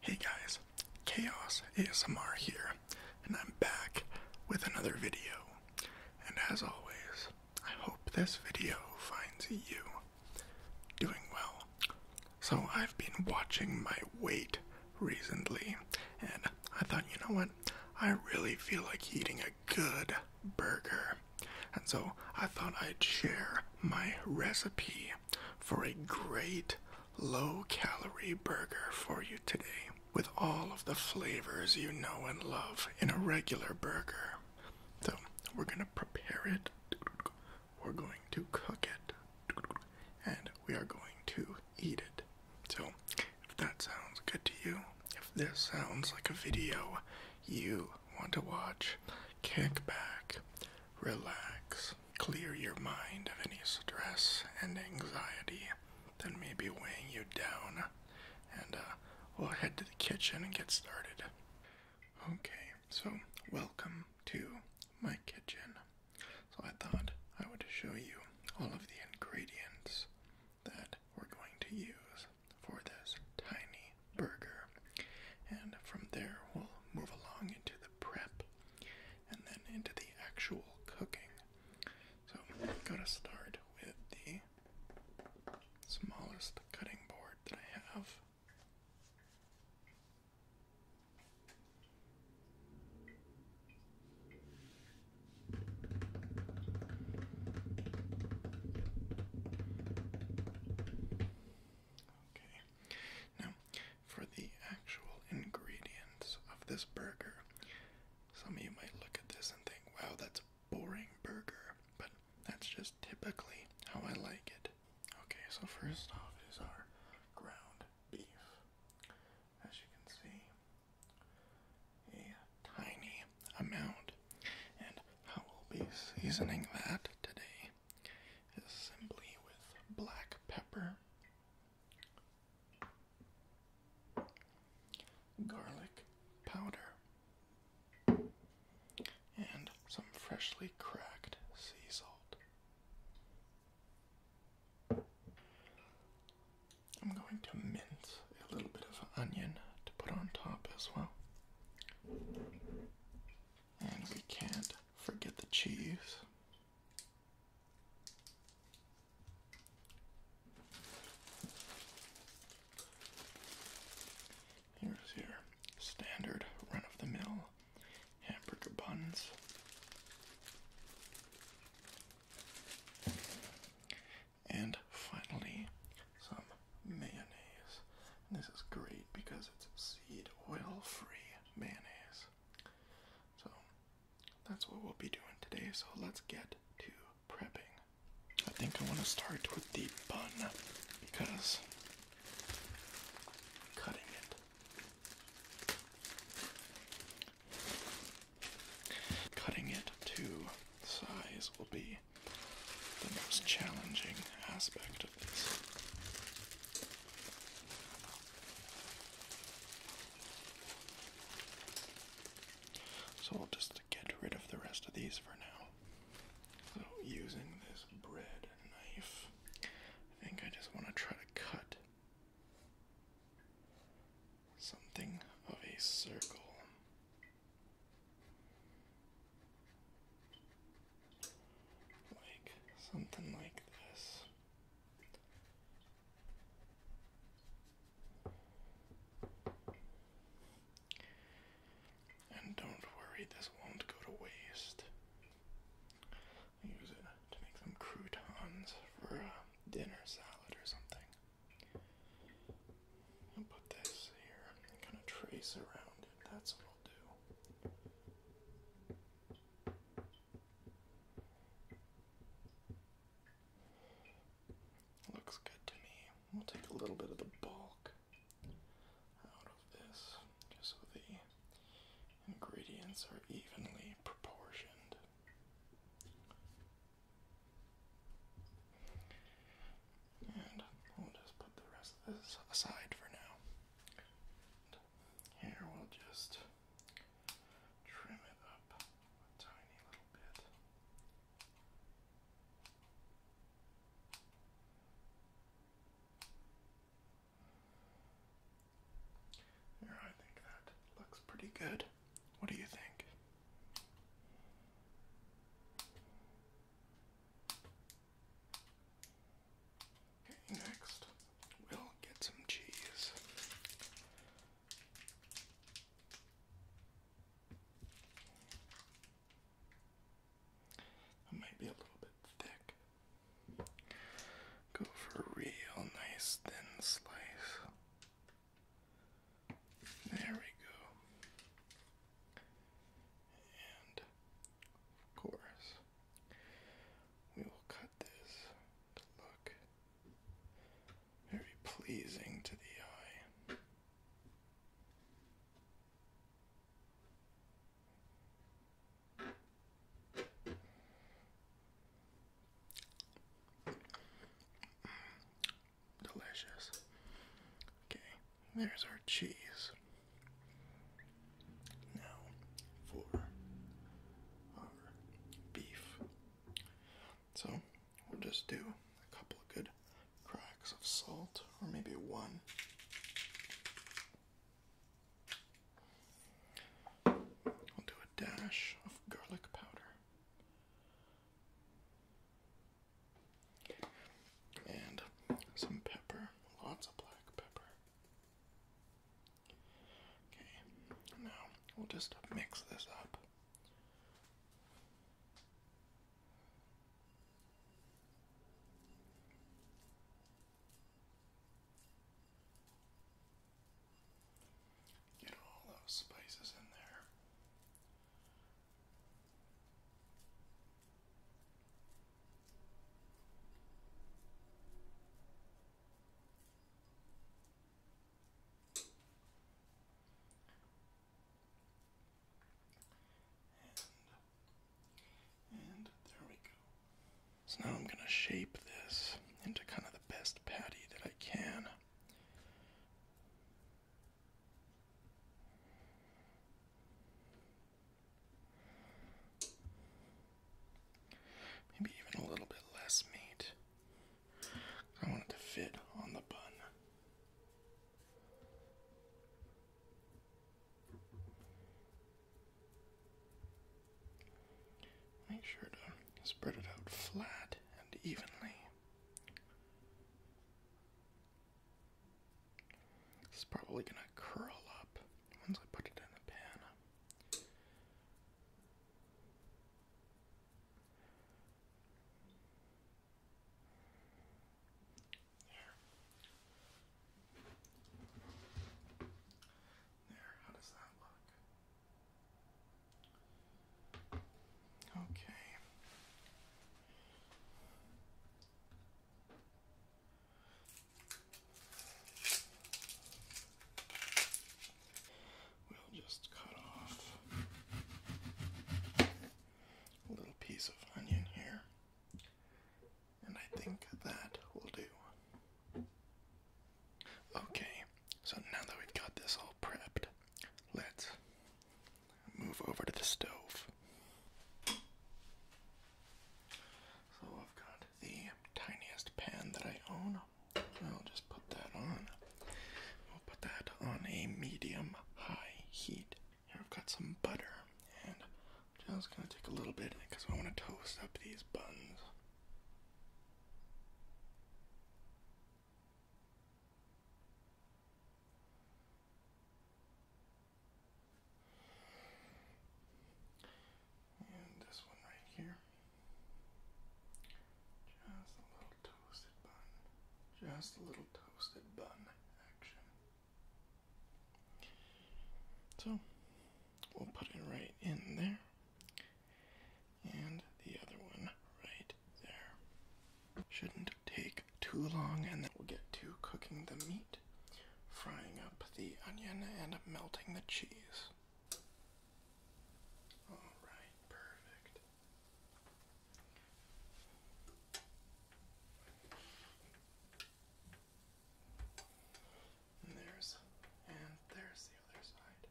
Hey guys, Chaos ASMR here, and I'm back with another video. And as always, I hope this video finds you doing well. So, I've been watching my weight recently, and I thought, you know what? I really feel like eating a good burger. And so, I thought I'd share my recipe for a great low calorie burger for you today with all of the flavors you know and love in a regular burger. So, we're going to prepare it, we're going to cook it, and we are going to eat it. So, if that sounds good to you, if this sounds like a video you want to watch, kick back, relax, Clear your mind of any stress and anxiety that may be weighing you down, and uh, we'll head to the kitchen and get started. Okay, so welcome to my kitchen. So, I thought I would show you all of the ingredients that we're going to use for this tiny burger, and from there, we'll move along into the prep and then into the actual cooking. So I'm gonna start with the smallest cutting board that I have. Okay. Now, for the actual ingredients of this burger. Some of you might look at this and think, wow, that's a boring burger, but that's just typically how I like it. Okay, so first off is our ground beef. As you can see, a tiny amount. And I will be seasoning that today is simply with black pepper, garlic powder, and some freshly cracked sea salt. I'm going to mince a little bit of onion to put on top as well. And we can't forget the cheese. Here's your standard run of the mill hamburger buns. And finally, some mayonnaise. this is great because it's seed oil free mayonnaise. So that's what we'll be doing today. So let's get to prepping. I think I want to start with the bun because cutting it. Cutting it to size will be the most challenging aspect of so i will just get rid of the rest of these for now. So using this bread knife, I think I just want to try to cut something of a circle. Like something like this. And don't worry, this won't go to waste. I use it to make some croutons for a dinner salad or something. I'll put this here and kind of trace around it. That's what I'll do. Looks good to me. We'll take a little bit of the bulk out of this just so the ingredients are evenly proportioned. And we'll just put the rest of this aside for now. Here we'll just trim it up a tiny little bit. There, I think that looks pretty good. What do you think? Okay, next we'll get some cheese. It might be a little bit thick. Go for a real nice thin slice. There we go. And of course, we will cut this look very pleasing to the eye. Delicious. Okay, there's our cheese. Now for our beef. So we'll just do a couple of good cracks of salt, or maybe one. We'll do a dash of garlic powder and some pepper, lots of black pepper. Okay, now we'll just mix this up. Get all those spices in there. So now I'm going to shape this into kind of the best patty that I can. Maybe even a little bit less meat. I want it to fit on the bun. Make sure to spread it out flat and evenly. It's probably gonna curl up once I put it in the pan. There. There, how does that look? Okay. We'll just cut off a little piece of onion here, and I think that will do. Okay, so now that we've got this all prepped, let's move over to the stove. So I've got the tiniest pan that I own. I'll just put that on. We'll put that on a medium high heat. Here I've got some butter, and I'm just gonna take a little bit because I want to toast up these buns. And this one right here. Just a little toasted bun. Just a little toasted bun action. So we'll put it right in there. And the other one right there. Shouldn't take too long, and then we'll get to cooking the meat, frying up the onion, and melting the cheese. Alright, perfect. And there's, and there's the other side.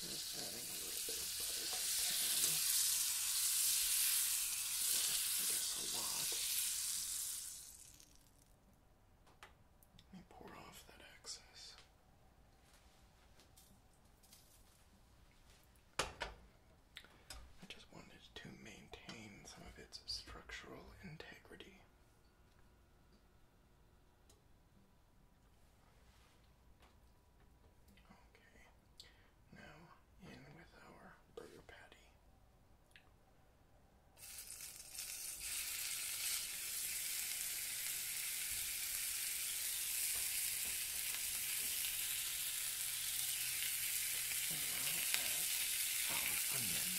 Just adding a little bit of butter I guess a lot. Let me pour off that excess. I just wanted to maintain some of its structural integrity. Okay, now in with our burger patty. As well as our onion.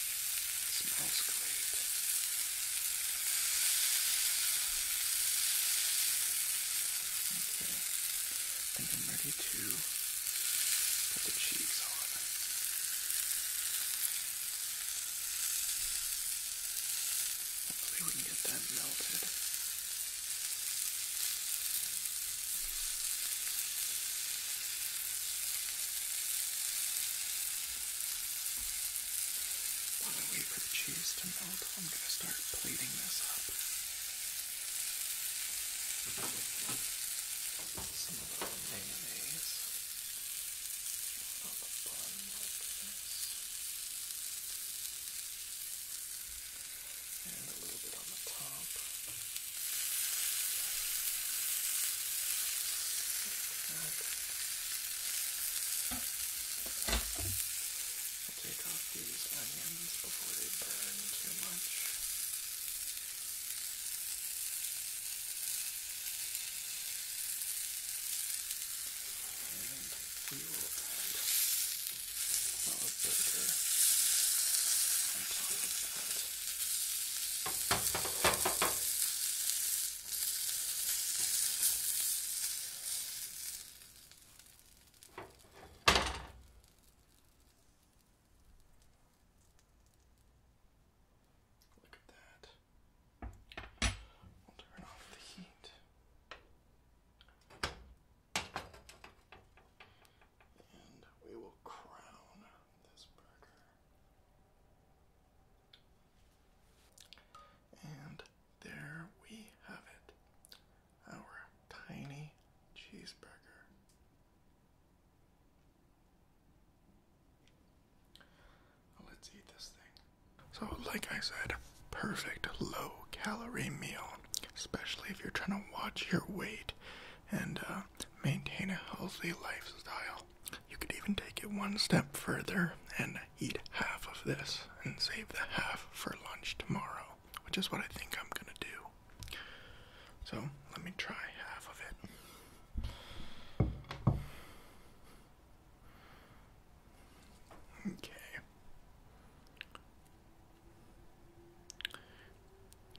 Smells great. Okay. I think I'm ready to put the cheese on. Hopefully we can get that melted. Okay, while I wait for the cheese to melt, I'm going to start plating this up. Some of the mayonnaise on the bun like this. And a little bit on the top. Like that. I'll take off these onions before they burn too much. And we will add our burger on top of that. Look at that. We'll turn off the heat. And we will crown this burger and there we have it our tiny cheeseburger. Let's eat this thing. So, like I said, perfect low calorie meal, especially if you're trying to watch your weight and uh, maintain a healthy lifestyle. You could even take it one step further and eat half of this and save the half for lunch tomorrow, which is what I think I'm gonna do. So let me try half of it. Okay.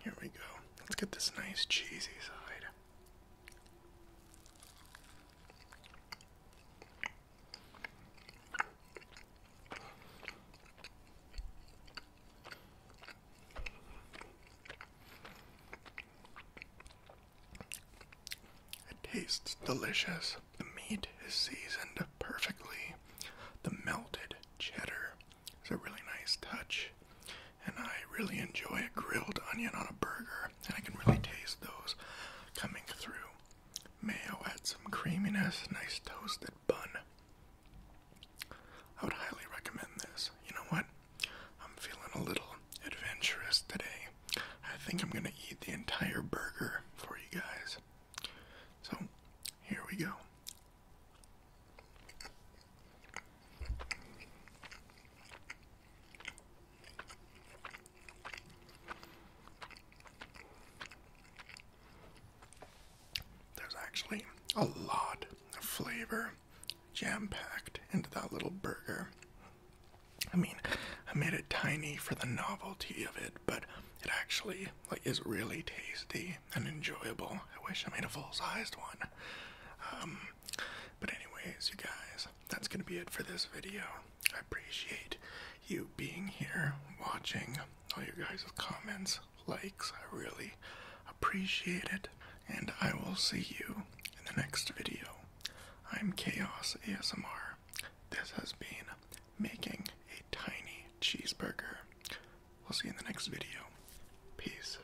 Here we go. Let's get this nice cheesy side. It tastes delicious. The meat is seasoned perfectly. The melted cheddar is a really nice touch and I really enjoy a grilled onion on a burger, and I can really taste those coming through. Mayo adds some creaminess, nice toasted bun. I would highly recommend this. You know what? I'm feeling a little adventurous today. I think I'm gonna eat the entire burger for you guys. So, here we go. There's actually a lot of flavor jam packed into that little burger. I mean, I made it tiny for the novelty of it, but it actually like is really tasty and enjoyable. I wish I made a full-sized one. Um, but anyways, you guys, that's gonna be it for this video. I appreciate you being here, watching all your guys' comments, likes. I really appreciate it, and I will see you in the next video. I'm Chaos ASMR. This has been making a tiny cheeseburger. We'll see you in the next video. Peace.